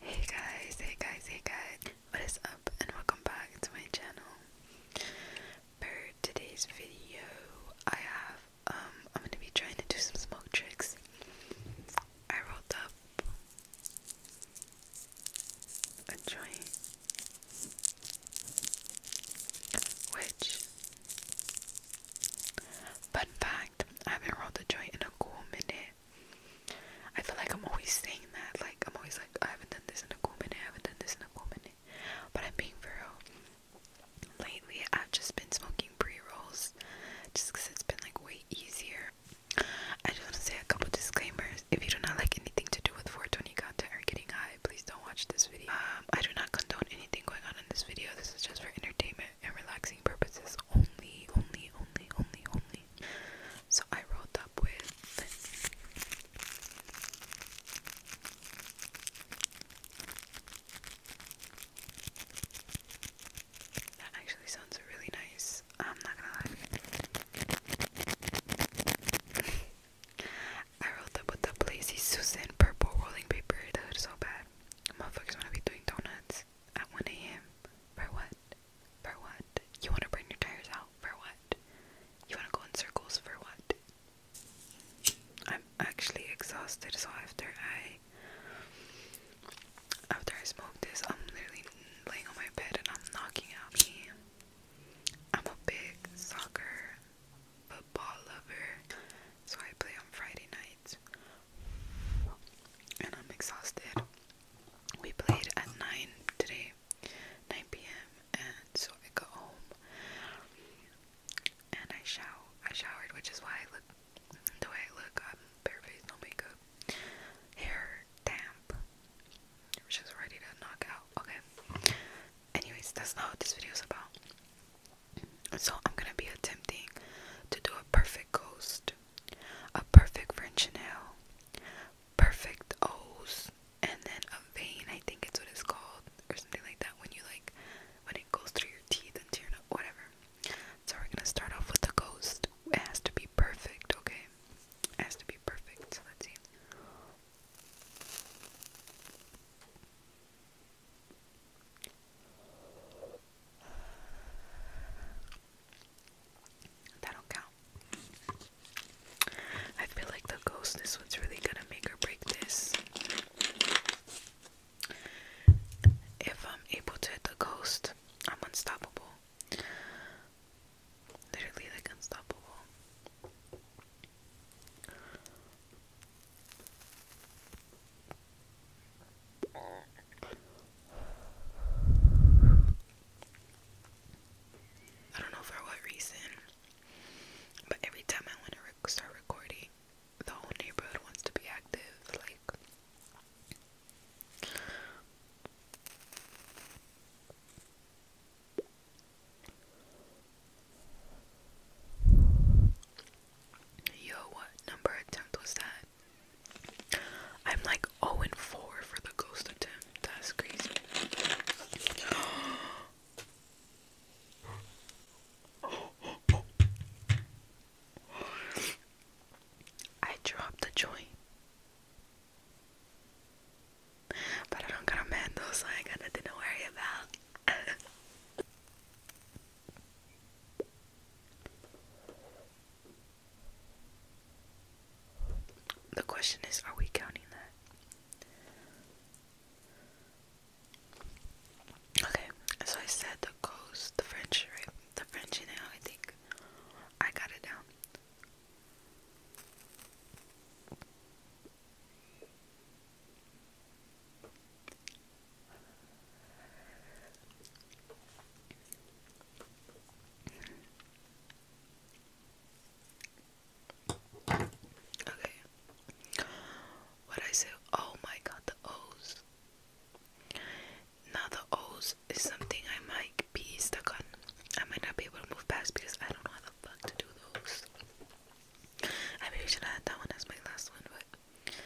Hey guys, hey guys, hey guys, what is up and welcome back to my channel. For today's video, I have, um, I'm gonna be trying to do some smoke tricks. I rolled up a joint, which, fun fact, I haven't rolled a joint in a cool minute. I feel like I'm always saying that. Like, I'm always like, I haven't done this in a cool minute. I haven't done this in a cool minute. But I'm being for Lately, I've just been smoking pre rolls just because it's been like way easier. I just want to say a couple disclaimers. If you do not like anything to do with 420 content or getting high, please don't watch this video. Um, I do not condone anything going on in this video. This is just for entertainment and relaxing purposes only, only, only, only, only. So I rolled up with that actually sounds really nice. I'm not gonna lie. I rolled up with the Blazy Susan purple rolling paper. That was so bad motherfuckers wanna be doing donuts at 1 a.m. For what? For what? You wanna burn your tires out? For what? You wanna go in circles? For what? I'm actually exhausted, so after I after I smoke this, I'm literally laying on my bed and I'm knocking out I'm a big soccer football lover, so I play on Friday nights. And I'm exhausted. We played at 9 today, 9 p.m., and so I got home and I shower. I showered, which is why I look the way I look. I'm barefaced, no makeup, hair damp, which is ready to knock out. Okay. Anyways, that's not what this video is about. So I'm gonna be attempting to do a perfect ghost, a perfect French nail, perfect O's, and then a vein, I think it's what it's called, or something like that, when you like when it goes through your teeth and to your whatever. So we're gonna start off with the ghost. It has to be perfect, okay? It has to be perfect. So let's see. That do count. I feel like the ghost, this one's really gonna make or break this. If I'm able to hit the ghost, I'm unstoppable. Literally, like, unstoppable. I don't know for what reason, but every time I want to start recording, the whole neighborhood wants to be active. Like, Yo, what number attempt was that? I'm like 0 and 4 for the ghost attempt. That's crazy. I dropped the joint. But I don't got a mandel, so I got nothing to worry about. the question is are we counting that? Okay, so I said the coast, the French, right? The French, you I think I got it down. Okay. What I say? Oh my God, the O's. Now the O's is something I might be stuck on. I might not be able to move past because I don't know how the fuck to do those. I maybe should have had that one as my last one, but.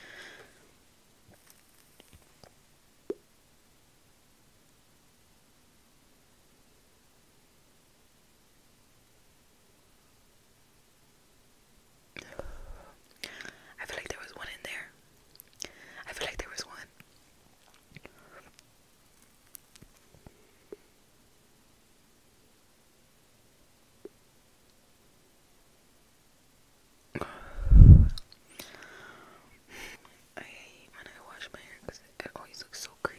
I feel like there was one in there. I feel like there was one. I hate when I wash my hair it always looks so crazy.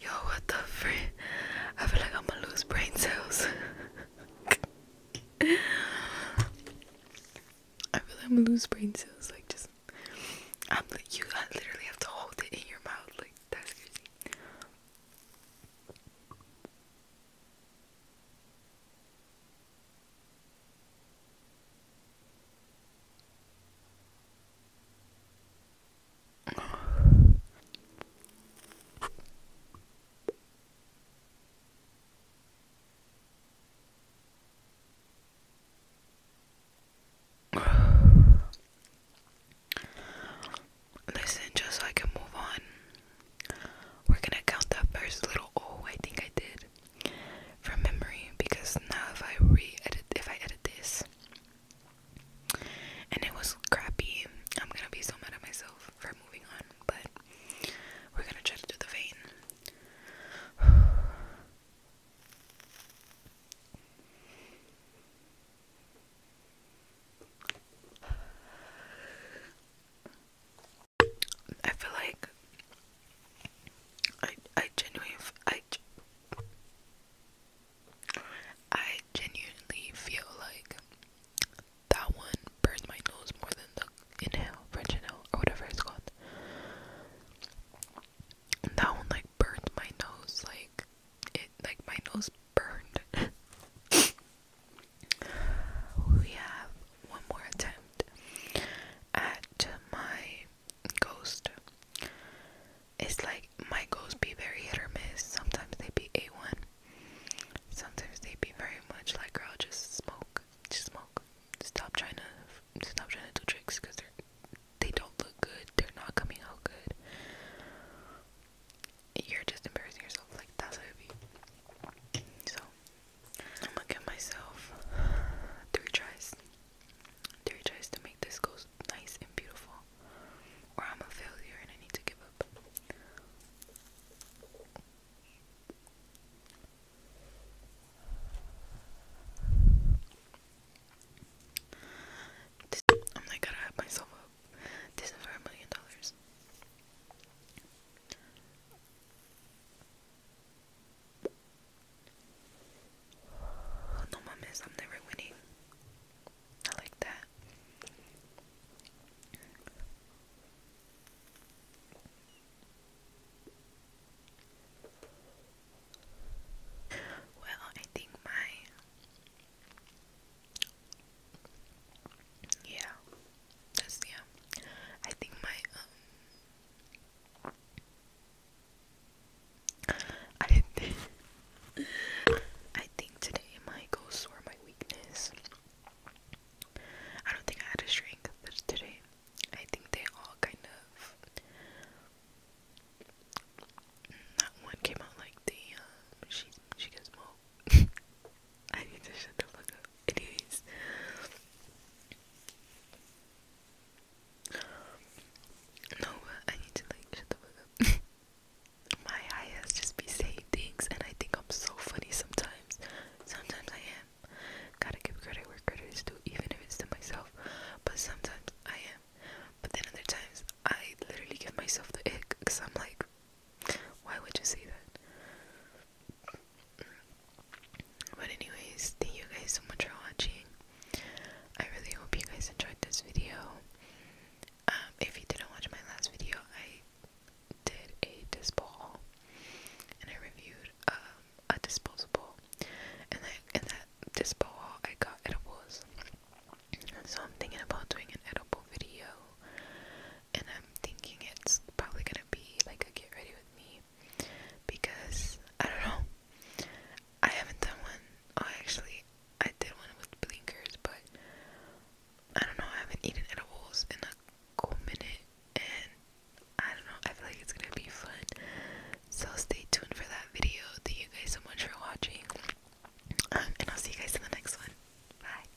Yo, what the frick? I feel like I'm gonna lose brain cells. I feel like I'm gonna lose brain cells. Like, just I'm like you. I literally have to hold it in your mouth. Like, that's crazy. Listen, just so I can move on, we're gonna count the first little oh, I think I did from memory because now if I re edit, if I edit this, and it was crappy. I'm gonna be so mad at myself for moving on, but we're gonna try to do the vein. I feel like I I genuinely I I genuinely feel like that one burned my nose more than the inhale, French inhale, or whatever it's called. That one like burned my nose, like it, like my nose burned. we have one more attempt at my ghost it's like my ghosts be very hit or miss sometimes they be a1 sometimes they be very much like girl just smoke just smoke stop trying to stop trying to do tricks because they're they they do not look good they're not coming out good you're just embarrassing yourself like that's what so i'm gonna give myself three tries Terry tries to make this go nice and beautiful, or I'm a failure and I need to give up. I'm like, gotta have myself up. This is for a million dollars. No, mom, I'm never winning. I like that. Well, I think my yeah, that's yeah. I think my um I didn't think. I think today my ghosts were my weakness. I don't think I had a strength today. I think they all kind of. That one came out like the she she gets mo. I need to shut the fuck up anyways no I need to like shut up my high just be saying things and I think I'm so funny sometimes sometimes I am gotta give credit where credit is due even if it's to myself but sometimes I am but then other times I literally give myself the ick because I'm like why would you say that but anyways, thank you guys so much for watching. I really hope you guys enjoyed this video. Um, if you didn't watch my last video, I did a dispo and I reviewed um, a disposable, and I, in that dispo I got edibles. So I'm thinking about doing an edible video and I'm thinking it's probably gonna be like a get ready with me because I don't know. I haven't done one. Oh, actually, I did one with blinkers, but I don't know. I haven't eaten edibles in a cool minute, and I don't know. I feel like it's gonna be fun. So stay tuned for that video. Thank you guys so much for watching, um, and I'll see you guys in the next one. Bye.